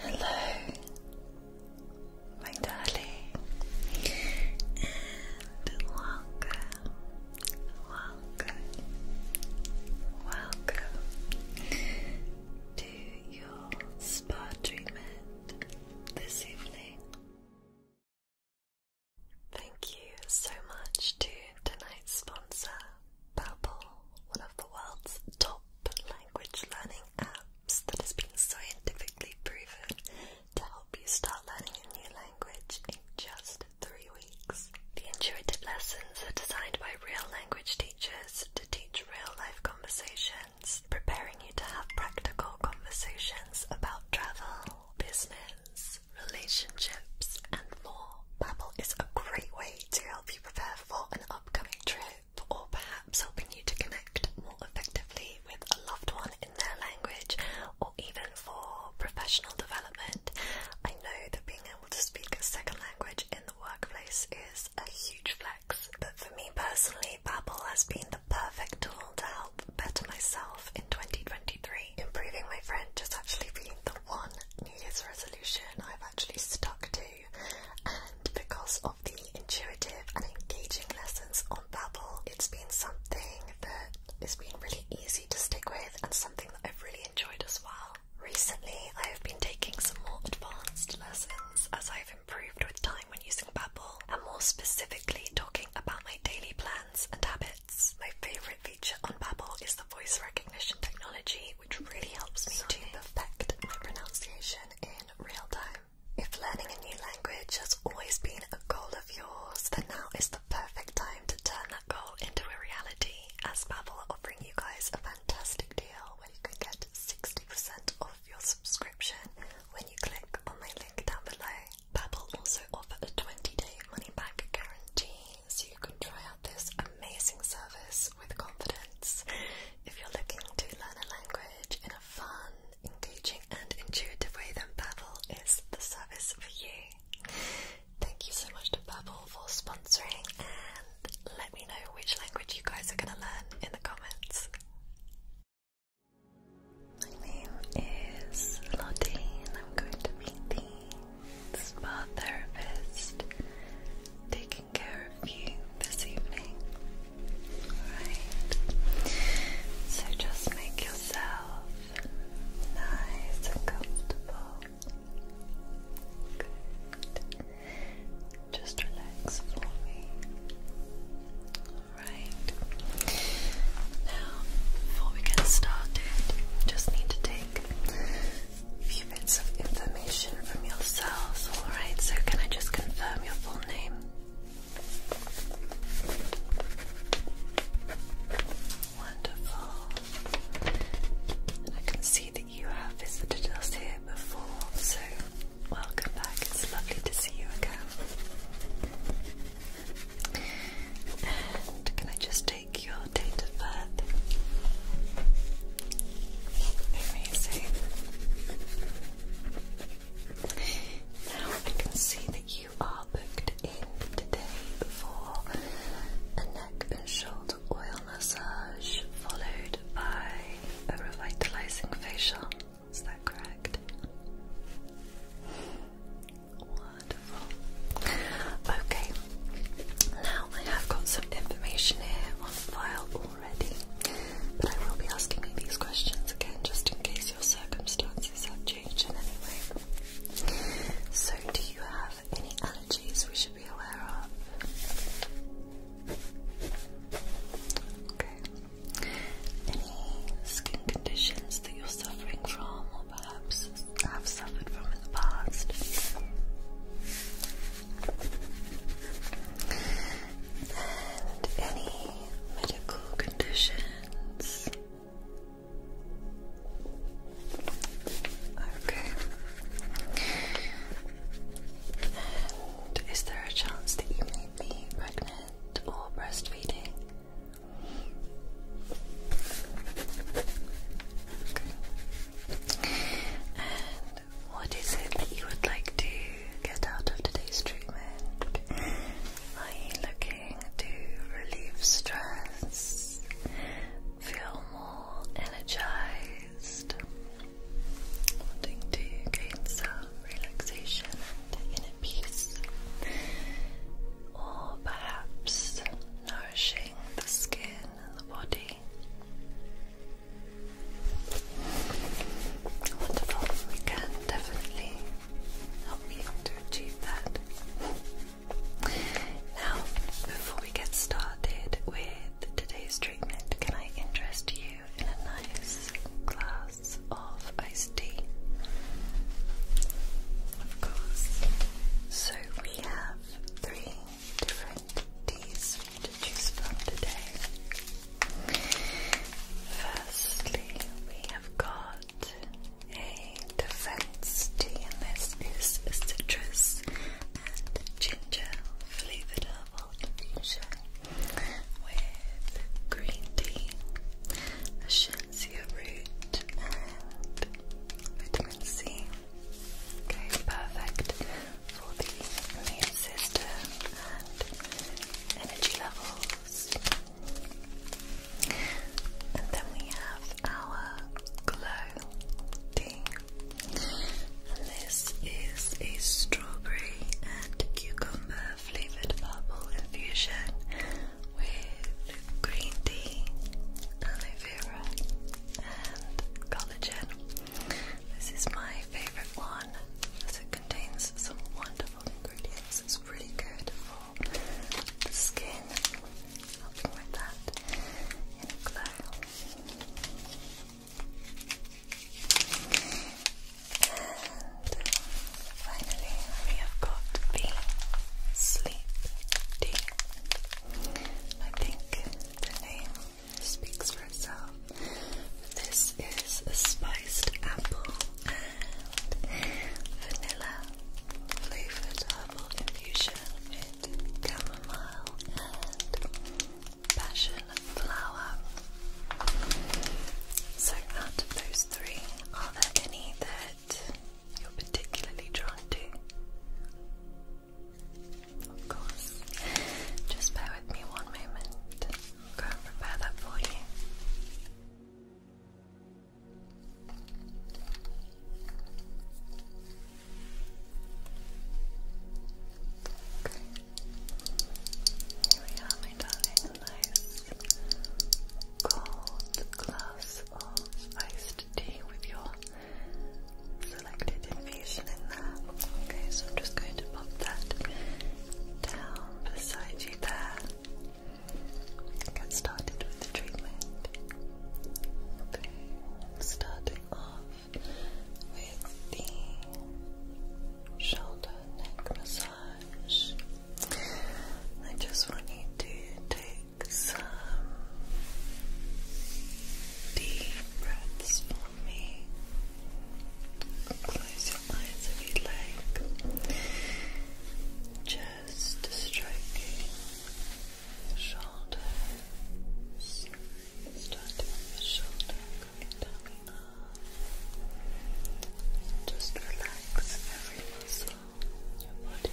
Hello, my darling, and welcome, welcome, welcome to your spa treatment this evening. Thank you so much to tonight's sponsor, Babbel, one of the world's top language learning apps that has been scientifically proven to help you start learning a new language in just three weeks. The intuitive lessons are designed by real language teachers to teach real life conversations, preparing you to have practical conversations about travel, business, relationships, and more. Babbel is a great way to help you prepare for an upcoming trip, or perhaps helping you to connect more effectively with a loved one in their language, or even for professional development. I know that being able to speak a second language in the workplace is a huge flex, but for me personally, Babbel has been the perfect tool to help better myself in 2023. Improving my French has actually been the one New Year's resolution I have actually stuck to, and because of the intuitive and engaging lessons on Babbel, it's been something that has been really easy to stick with and something that I've really enjoyed as well. Recently, I have been taking some more advanced lessons as I've improved with time when using Babbel, and more specifically talking about my daily plans and habits. My favorite feature on Babbel is the voice recognition technology, which really helps me to perfect my pronunciation in real time. If learning a new language has always been a goal of yours, then now is the perfect time to turn that goal into a reality, as Babbel are offering you guys a fantastic deal where you can get 60% off your subscription when you click on my link down below. Babbel also offer a 20-day money-back guarantee, so you can try out this amazing service with confidence. If you're looking to learn a language in a fun, engaging, and intuitive way, then Babbel is the service for you. Thank you so much to Babbel for sponsoring, and let me know which language you guys are going to learn in the comments. My name is Lottie, and I'm going to be the spa therapist taking care of you this evening. Alright, so just make yourself nice and comfortable. Good. Just relax for me. Alright. Now, before we get started, just need to take a few bits of information from yourself. alright? So, can I just confirm your full name? Wonderful. I can see that you have visited us here before, so welcome back. It's lovely to see you again. And can I just take like your date of birth. Amazing. Now I can see that you are booked in today for a neck and shoulder oil massage followed by a revitalizing facial. Is that correct? Wonderful. Okay, now Oh I have got some information here on file already, but I will be asking you these questions again just in case your circumstances have changed in any way. So, do you have any allergies we should be aware of? Okay. Any skin conditions that you're suffering from, or perhaps I've suffered from in the past. And any medical conditions. Okay. And is there a chance that you may be pregnant or breastfeeding? Okay. And what is it that you would like to get out of today's treatment? Are you looking to relieve stress? Feel more energized? Wanting to gain some relaxation and inner peace? Or perhaps nourishing the skin and the body Wonderful. We can definitely help you to achieve that. Now, before we get started with today's treatment, can I interest you in a nice glass of iced tea? Of course. So we have three different teas to choose from today. Firstly, we have got a defense tea, and this is citrus and ginger flavored herbal infusion with green tea, a shensia root, and vitamin C. Okay, perfect for the immune system and energy levels. And then we have our glow tea. this is a strawberry and cucumber flavored purple infusion with green tea, aloe vera, collagen. This is my favorite one as it contains some wonderful ingredients. It's really good for the skin, helping with that in And finally, we have got the sleep I think the name speaks for itself. This is a spiced apple and vanilla flavored herbal infusion with chamomile and passion flower. So, out of those three, are there any that you're particularly drawn to? Of course. Just bear with me one moment. go and prepare that for you. Here we are, my darling. A nice cold glass of iced tea with your selected infusion in there. Okay, so I'm just going to pop that down beside you there. Get started with the treatment. Okay, starting off with the shoulder neck massage. I just want you to take take some deep breaths for me. Close your eyes if you'd like. Just shoulders. Starting with your shoulder, going down Just relax every muscle in your body.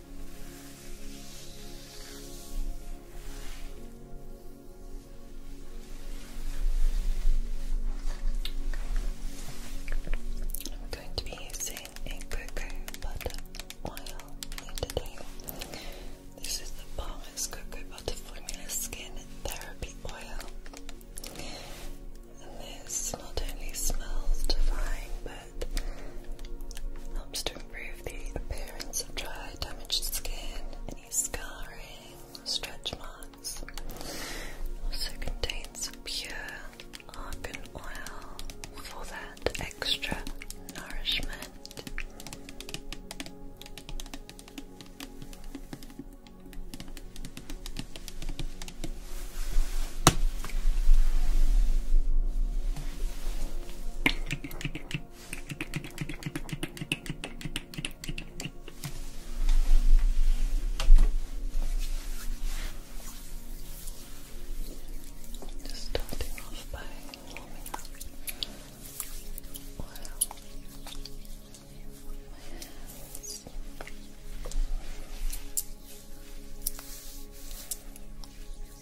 I'm going to be using a cocoa butter oil today. This is the Palmer's Cocoa Butter Formula Skin Therapy Oil. And this not only smells divine, but helps to improve the appearance of dry, damaged skin, any scarring, stretch marks. Also contains pure argan oil for that extra nourishment. Just starting off by warming up oil my hands. Just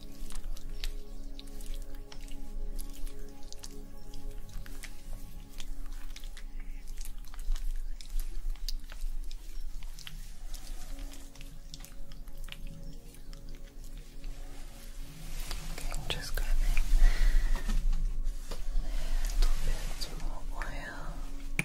Okay, I'm just grabbing a little bit more oil.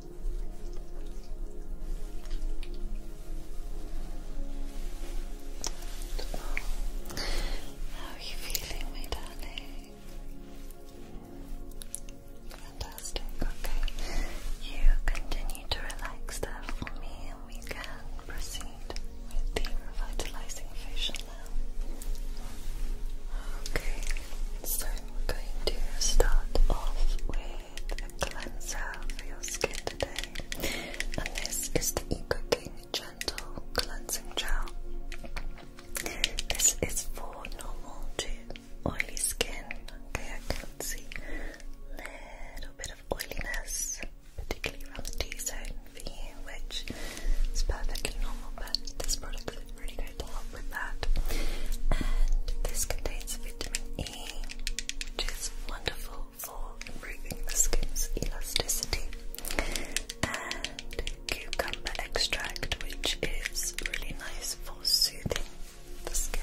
How are you feeling, my darling? Fantastic. Okay. You continue to relax there for me, and we can proceed with the revitalizing facial now. Okay. So we're going to start off with cleanser for your skin and this is the Eco King Gentle Cleansing Gel. This is for normal to oily skin. Okay, I can see a little bit of oiliness, particularly around the T-zone for you, which is perfectly normal, but this product is really going to help with that. And this contains vitamin E which is wonderful for improving the skin's elasticity, and cucumber extract, which is really nice for soothing the skin.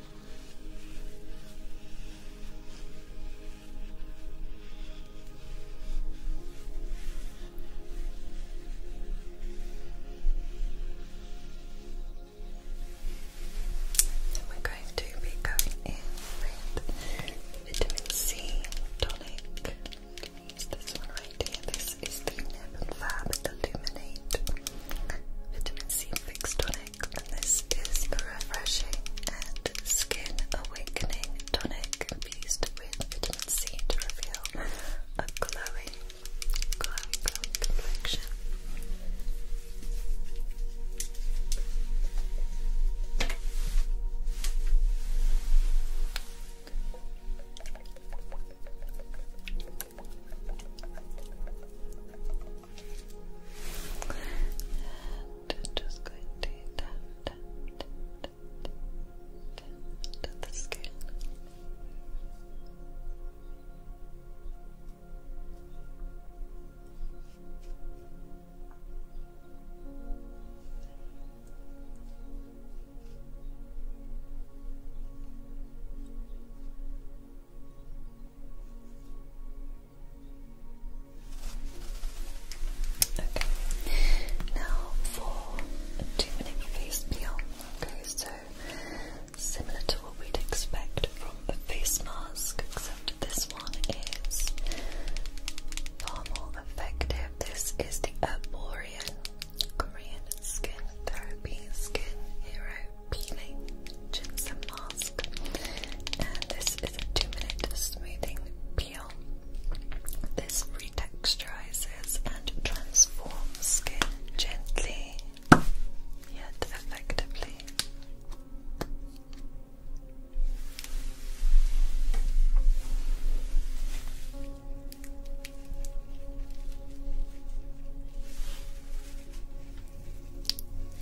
we're going to be going in with vitamin C tonic. this one right here. This is the Neb Vitamin C Fix Tonic this is a refreshing and skin awakening tonic infused with vitamin C to reveal a glowing, glowing, glowing complexion. And just going to the skin. Okay. Now for a 2 face peel. Okay, so similar to what we'd expect from a face mask, except this one is far more effective. This is the Arborean Korean Skin Therapy Skin Hero peeling ginseng mask. Uh, this is a two-minute smoothing peel. This retexturizes and transforms skin gently yet effectively.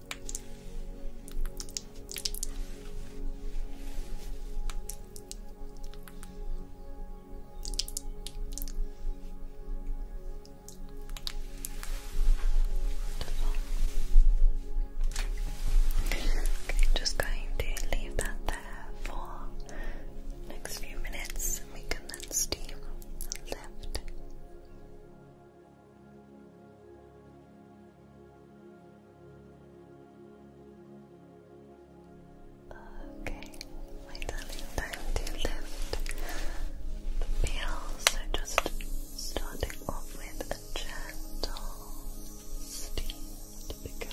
Okay, just going to leave that there for next few minutes and we can then steam left. Okay, my darling, time to lift. The pills are just starting off with a gentle steam to begin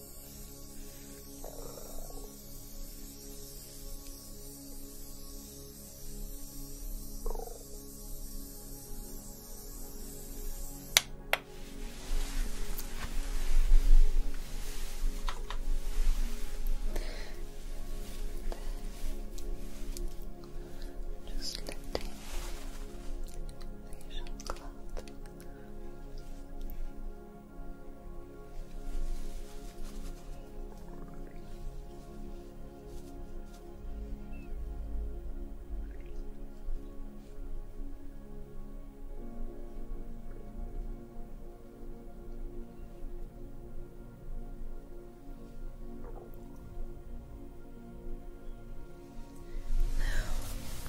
Just letting facial cloth now,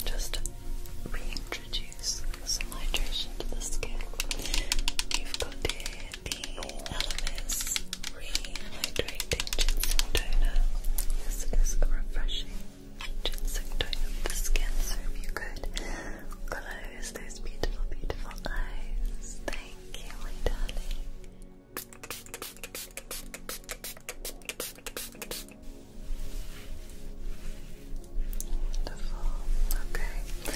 just reintroduce some hydration to the skin. We've got here the Elemis Rehydrating Ginseng Toner. This is refreshing ginseng toner for the skin, so you could close those beautiful, beautiful eyes. Thank you, my darling. Wonderful. Okay.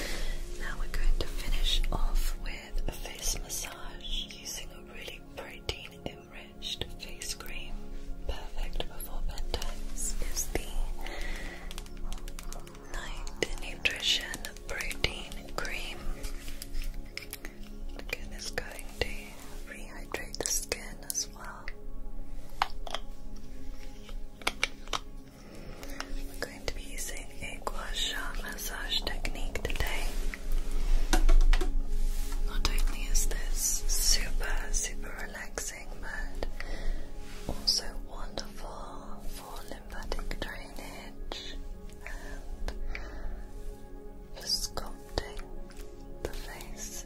Now we're going to finish off with a face massage using a really protein enriched face cream. Perfect before bedtime is the Night Nutrition Protein Cream. Again, it's going to rehydrate the skin as well. I'm going to be using a gua sha massage technique today. Not only is this super, super relaxing, but also wonderful for lymphatic drainage and sculpting the face.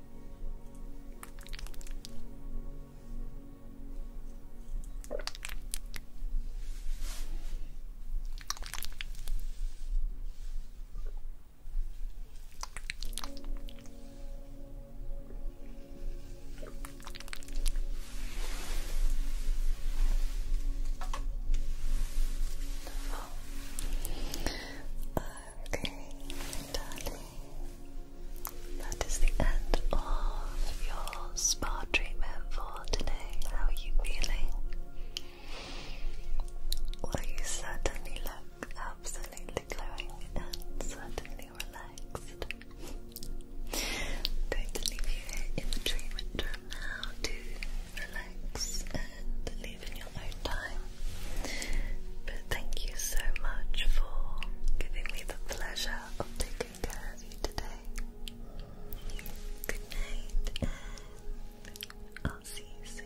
Okay, darling. That is the end of your spa treatment for today. How are you feeling? Well, you certainly look absolutely glowing and certainly relaxed. I'm going to leave you here in the treatment room now to relax and leave but thank you so much for giving me the pleasure of taking care of you today. Good night, and I'll see you soon.